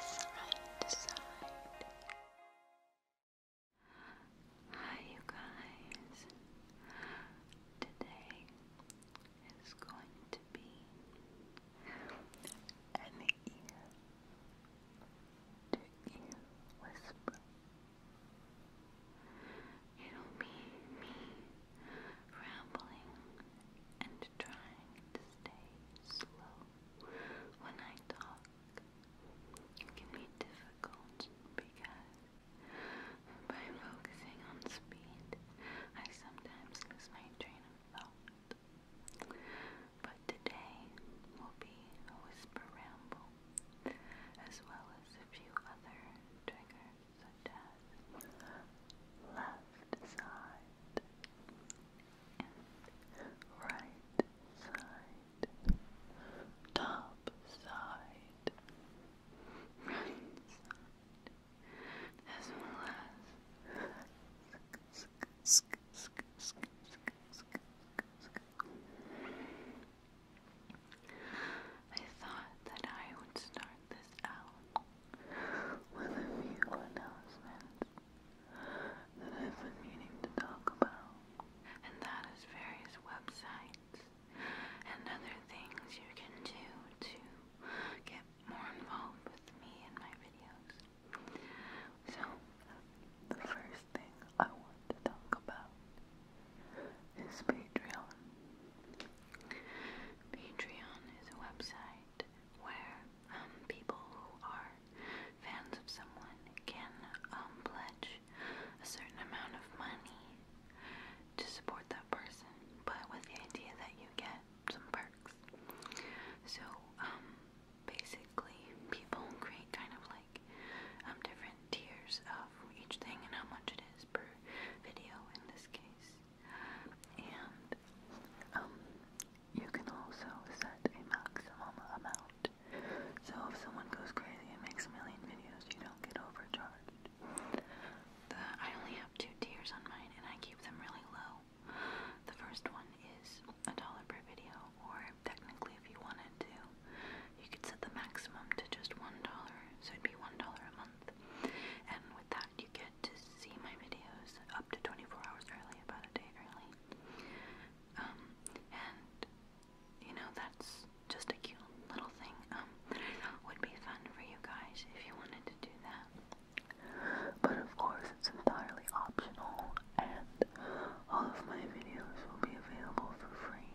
side to side. Hi, you guys. Today is going to be an ear to ear whisper. It'll be me rambling and trying stay slow when I talk. It can be difficult because by focusing on speed, I sometimes lose my train of thought. But today will be a whisper ramble, as well as a few other triggers such as left side, and right side, top side, right side, as well as I thought that I would start this out with a few announcements that I've been meaning to talk about, and that is various websites and other things you can do to get more involved with me and my videos. So, the first thing I want to talk about is Patreon. Patreon is a website where um, people who are fans of someone can um, pledge a certain amount of money to support that person, but with the idea that you get some perks. So, um, basically, people create kind of like um, different tiers of each thing and how much it is per video in this case and um, you can also set a maximum amount. So if someone goes crazy and makes a million videos, you don't get overcharged. The, I only have two tiers on mine, and I keep them really low. The first one is a dollar per video, or technically, if you wanted to, you could set the maximum to just one dollar, so it'd be one dollar a month. And with that, you get to see my videos up to 24 hours early, about a day early. Um, and you know, that's just a cute little thing. Um, would be fun for you guys if you wanted to do that. But of course, it's entirely optional, and all of my videos will be available for free.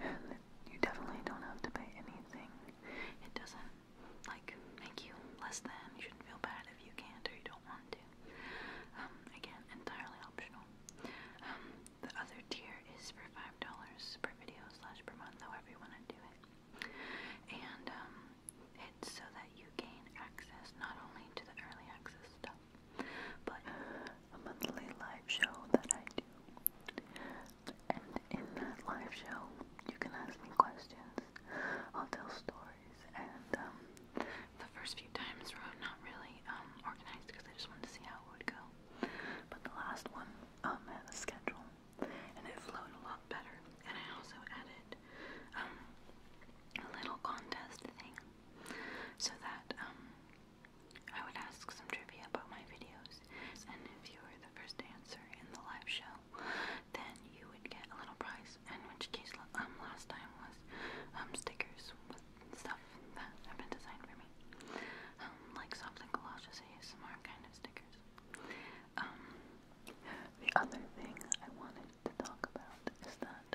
And you definitely don't have to pay anything. It doesn't like make you less than. You shouldn't feel bad if you can't or you don't want to. Um, again, entirely optional. Um, the other tier is for five dollars per video slash per month, however you want to do it. And um, it's so that you gain access not only to the early access stuff, but a monthly live show that I do. And in that live show, you can ask me questions. I'll tell stories was, and um, the first few times were not really um, organized because I just wanted to see how it would go. But the last one um, had a schedule, and it flowed a lot better. And I also added um, a little contest thing so that um, I would ask some trivia about my videos, and if you were the first answer in the live show, then you would get a little prize. In which case, um, last time was um, stickers stuff that have been designed for me, um, like Soft and Galoshes ASMR kind of stickers. the other thing I wanted to talk about is that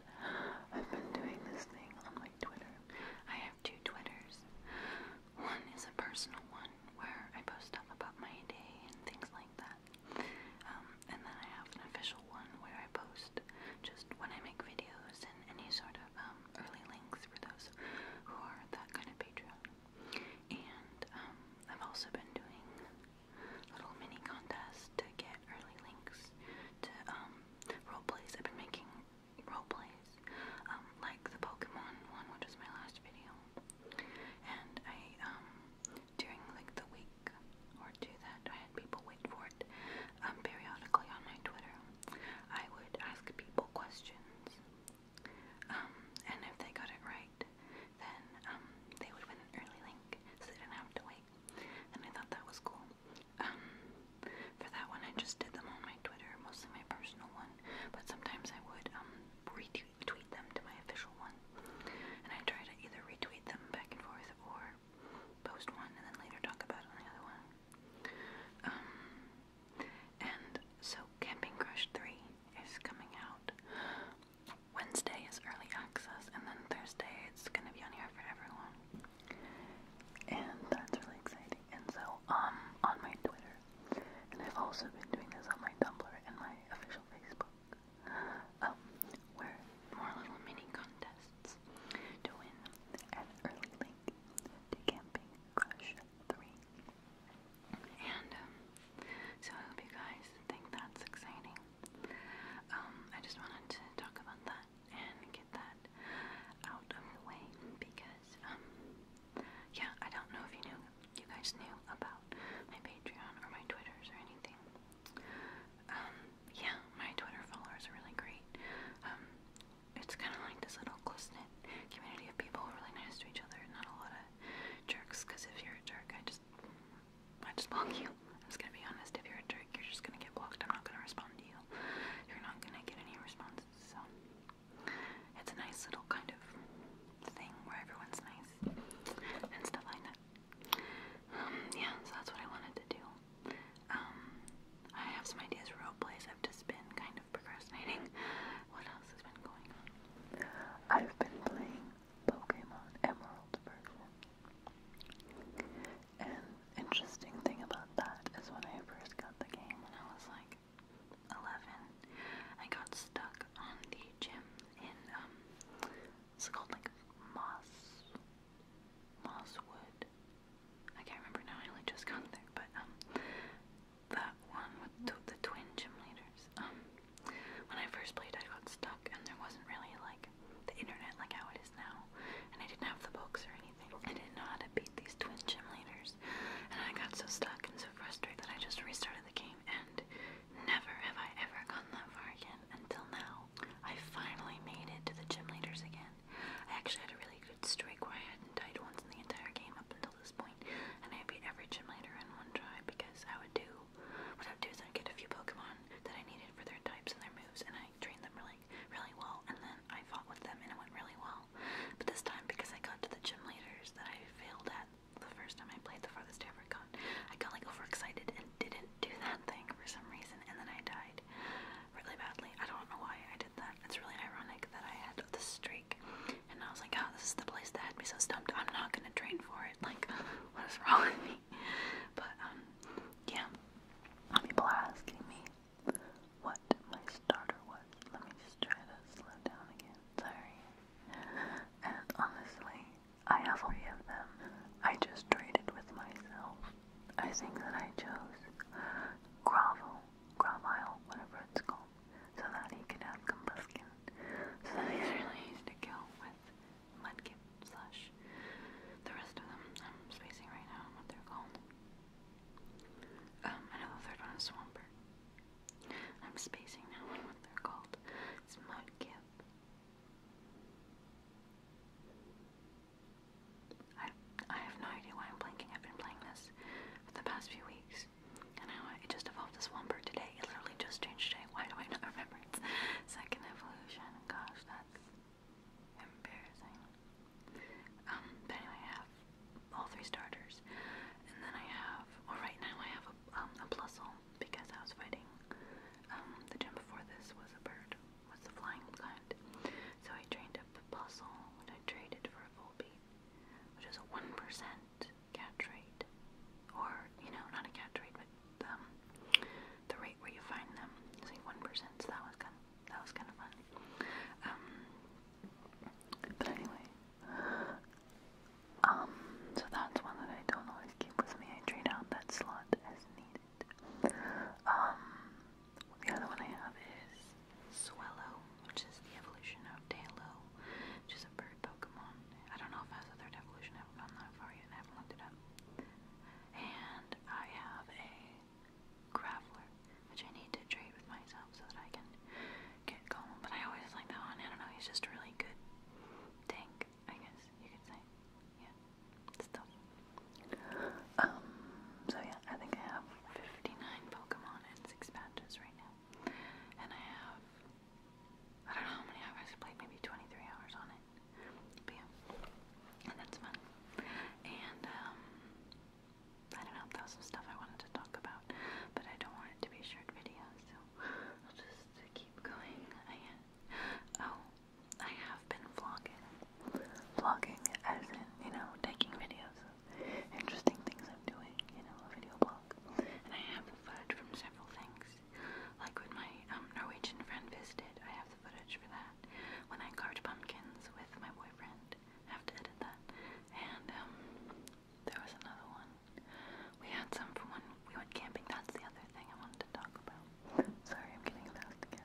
I've been doing this thing on my Twitter. I have two Twitters. One is a personal one where I post stuff about my day and things like that that. Um, and then I have an official one where I post just when I make videos and any sort of um, early links for those who are that kind of Patreon. And um, I've also been doing little mini contests to get early links to um, role plays. I've been making role plays um, like the Pokemon one, which was my last video. And I, um, during like the week or two that I had people wait for it, um, periodically on my Twitter, I would ask people questions. Um, and if they got it right, then um, they would win an early link, so they didn't have to wait. And I thought that was cool. Um, for that one, I just did them on my Twitter, mostly my personal one. But sometimes I would um redo tweet them to my official one. And I try to either retweet them back and forth or post one and then later talk about it on the other one. Um, and so Camping Crush 3 is coming out. Wednesday is early access, and then Thursday it's gonna be on here for everyone. And that's really exciting. And so, um, on my Twitter, and I've also been doing this on my Tumblr and my official Facebook. Oh, um, we're more little mini contests to win an early link to Camping Crush 3. And um, so I hope you guys think that's exciting. Um, I just wanted to talk about that and get that out of the way because, um, yeah, I don't know if you knew, you guys knew about about my Patreon or my Twitters or anything. Um, yeah, my Twitter followers are really great. Um, it's kind of like this little close-knit community of people really nice to each other. Not a lot of jerks, because if you're a jerk, I just, I just block you. I'm just gonna be honest. If you're a jerk, you're just gonna get blocked. I'm not gonna respond to you. You're not gonna get any responses. So it's a nice little kind of thing where everyone's nice and stuff like that. Um, yeah, so that's what I wanted to do. Um, I have some ideas for role plays. I've just been kind of procrastinating. What else has been going on? I've been playing Pokemon Emerald version. An interesting thing about that is when I first got the game when I was like 11, I got stuck on the gym in um, it's called like moss, mosswood. I can't remember now. I only just got there, but um, that one with the, twin gym leaders. Um, when I first played, I got stuck, and there wasn't really like the internet like how it is now, and I didn't have the books or anything. I didn't know how to beat these twin gym leaders, and I got so stuck and so frustrated that I just restarted the game and. Never have I ever gone that far again until now. I finally made it to the gym leaders again. I actually had a really good streak where I hadn't died once in the entire game up until this point, and I beat every gym leader in one try because I would do what I would do is I'd get a few Pokemon that I needed for their types and their moves, and I trained them really, really well, and then I fought with them and it went really well. But this time, because I got to the gym leaders that I failed at the first time I played the farthest I ever got. I got like overexcited and didn't do that thing for some reason, and then I died really badly. I don't know why I did that. It's really ironic that I had this streak, and I was like, oh, this is the place that had me so stumped. I'm not gonna train for it. Like, what is wrong with me? But um, yeah. People are asking me what my starter was. Let me just try to slow down again. Sorry. And honestly, I have three of them. I just traded with myself. I think that I chose Gravel, Gravile, whatever it's called, so that he could have Combuskin. So that he's really easy to kill with Mudkip slash the rest of them. I'm spacing right now what they're called. I um, know the third one is Swampert. I'm spacing now what they're called. It's Mudkip, I, I have no idea why I'm blinking. I've been playing this for the past few weeks. And now it just evolved this one today. It literally just changed today. Why do I not remember second evolution? Gosh, that's embarrassing. Um, but anyway, I have all three starters. And then I have, well right now I have a, um, a Plusle because I was fighting. Um, the gym before this was a bird, was the flying kind. So I trained up a puzzle and I traded for a Volby, which is a 1% catch rate. Or, you know, not a cat rate, but um, the rate where you find them is 1%, so that was kind that was kind of fun. Um, but anyway, um, so that's one that I don't always keep with me. I trade out that slot as needed. Um, the other one I have is Swellow, which is the evolution of Talo, which is a bird Pokemon. I don't know if that's the other evolution. I haven't gone that far yet. I haven't looked it up. And I have a Graveler, which I need to trade with myself so that I can get going. But I always like that one. I don't know. He's just a really good tank. I guess you could say. Yeah, stuff. Um, so yeah, I think I have 59 Pokemon and 6 badges right now. And I have, I don't know how many hours I played, maybe 23 hours on it. But yeah, and that's fun. And, um, I don't know, that was some stuff I wanted to talk about, but I don't want it to be short video, so I'll just keep going, I guess. Oh, I have been vlogging. Vlogging as in, you know, taking videos of interesting things I'm doing, you know, a video blog. And I have the footage from several things. Like when my um, Norwegian friend visited, I have the footage for that. When I carved pumpkins with my boyfriend, I have to edit that. And um, there was another one. We had some from when we went camping. That's the other thing I wanted to talk about. Sorry, I'm getting lost again.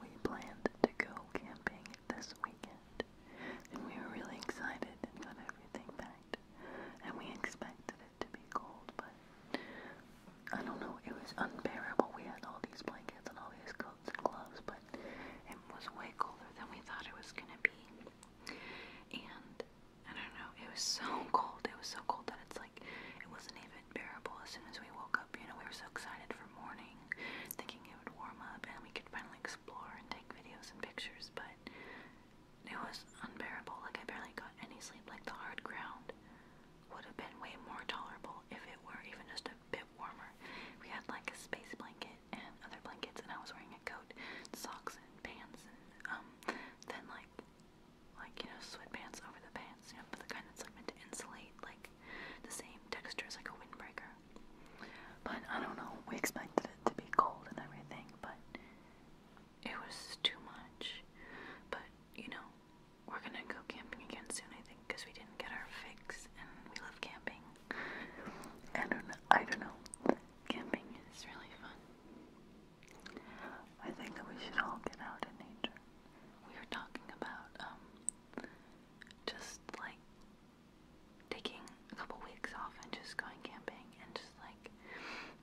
We planned to go camping this weekend, and we were really excited and got everything packed. And we expected it to be cold, but I don't know, it was unbearable. We had all these blankets and all these coats and gloves, but it was way colder than we thought it was gonna be. And I don't know. It was so cold. It was so cold that it's like it wasn't even bearable as soon as we woke up. You know, we were so excited for morning, thinking it would warm up and we could finally explore and take videos and pictures, but it was unbearable. Like, I barely got any sleep. Like, the hard ground would have been way more tolerable if it were even just a bit warmer. We had like a space blanket and other blankets, and I was wearing a coat, socks, and pants, and um, then like like, you know, sweatpants over the pants, you know, but the kind that's meant to insulate, like, the same texture as like a windbreaker. But I don't know, we expected it to be cold and everything, but it was too much. But, you know, we're gonna go camping again soon, I think, because we didn't get our fix and we love camping. I don't know, I don't know. Camping is really fun. I think that we should all get out in nature. We are talking about um just like taking a couple weeks off and just going camping and just like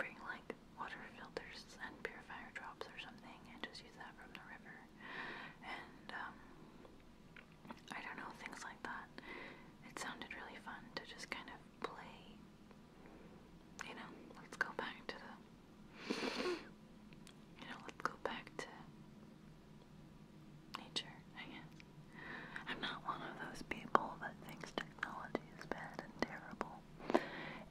bring like water filters and purifier drops or something and just use that from the river and um I don't know things like that. It sounded really fun to just kind of play you know, let's go back to the, you know, let's go back to nature, I am not one of those people that thinks technology is bad and terrible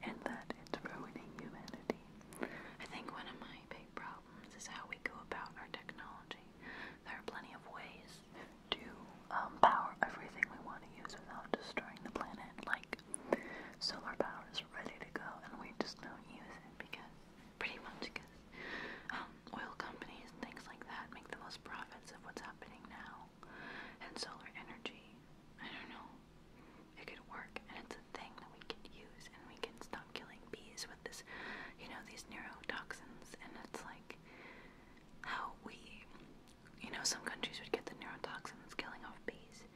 and that it's ruining humanity. I think one of my big problems is how we go about our technology. There are plenty of ways to um, power everything we want to use without destroying the planet, like like solar power is ready to go and we just don't use it because pretty much because um, oil companies and things like that make the most profits of what's happening now and solar energy I don't know it could work and it's a thing that we can use and we can stop killing bees with this you know these neurotoxins and it's like how we you know, some countries would get the neurotoxins killing off bees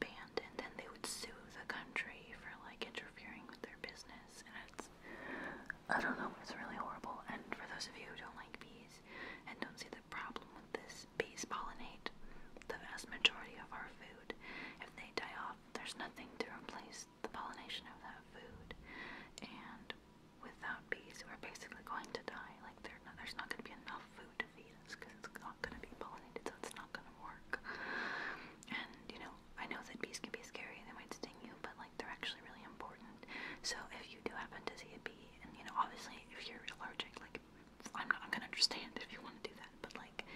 banned, and then they would sue the country for like interfering with their business. And it's, I don't know, it's really horrible. And for those of you who don't like bees and don't see the problem with this, bees pollinate the vast majority of our food. If they die off, there's nothing to replace the pollination of that food. And without bees who are basically going to die. Like there's not going to be enough food to feed us because it's not going to be pollinated, so it's not going to work. And you know, I know that bees can be scary; they might sting you, but like they're actually really important. So if you do happen to see a bee, and you know, obviously if you're allergic, like I'm not I'm gonna understand if you want to do that, but like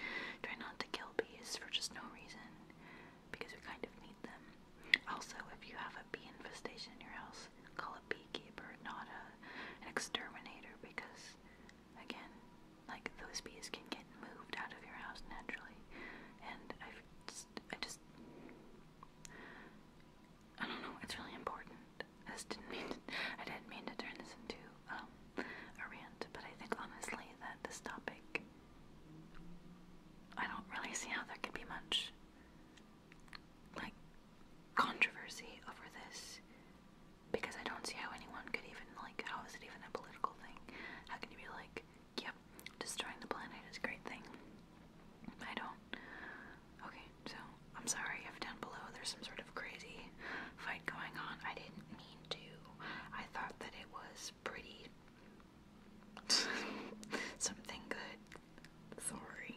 try not to kill bees for just no reason because we kind of need them. Also, if you have a bee infestation in your house, call a beekeeper, not a, an exterminator, because, again, like those bees can get moved out of your house naturally. And i just, I just, I don't know, it's really important. I just didn't mean to, I didn't mean to turn this into um, a rant, but I think honestly that this topic, I don't really see how there could be much like controversy over this because I don't see how anyone could even like how is it even a political thing? How can you be like, yep, destroying the planet is a great thing? I don't. Okay, so I'm sorry if down below there's some sort of crazy fight going on. I didn't mean to. I thought that it was pretty something good. Sorry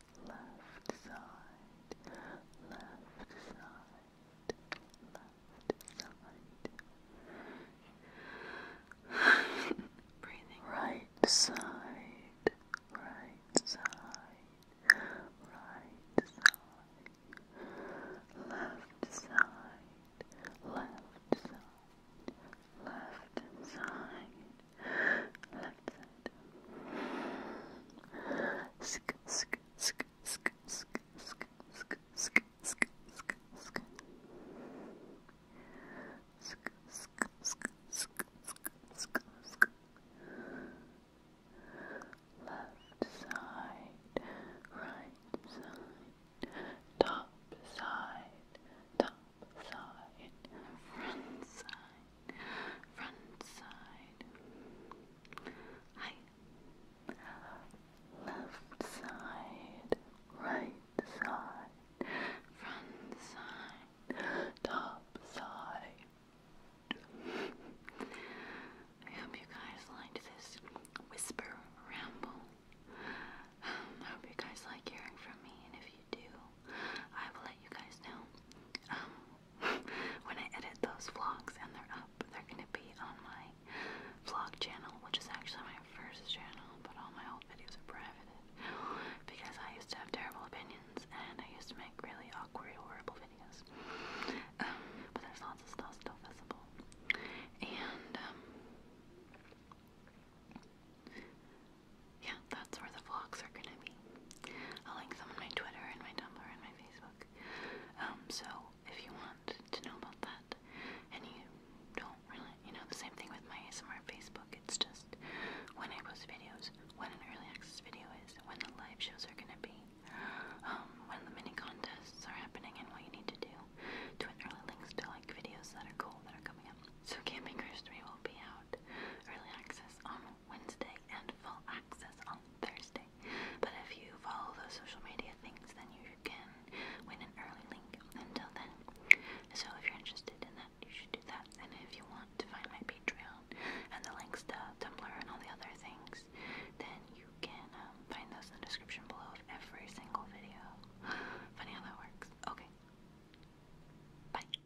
left side, left side, left side. Breathing right side, right side, right side, left side, left side, left side left side. Sk sk sk sk sk sk sk sk sk sk sk. Sk sk sk sk sk sk Left side, right side, top side, top side, front side, front side. Hi. Left side, right side, front side, top side. I hope you guys liked this whisper ramble. I hope you guys like hearing from me, and if do, I will let you guys know. Um, when I edit those vlogs and they're up, they're gonna be on my vlog channel, which is actually my first channel, but all my old videos are private because I used to have terrible opinions and I used to make really awkward, horrible videos. Um, but there's lots of stuff still visible. And um, yeah, that's where the vlogs are gonna be. I'll link them on my Twitter and my Tumblr and my Facebook. Um, so if you want to know about that, and you don't really, you know, the same thing with my ASMR Facebook, it's just when I post videos, when an early access video is, when the live shows are gonna be, um, when the mini contests are happening, and what you need to do. Twitter links to like videos that are cool that are coming up. So Camping Cruise 3 will be out early access on Wednesday and full access on Thursday. But if you follow those social media things, then you can win an early link until then. So if you're interested in that, you should do that. And if you want to find my Patreon and the links to Tumblr and all the other things, then you can um, find those in the description below of every single video. Funny how that works. Okay. Bye.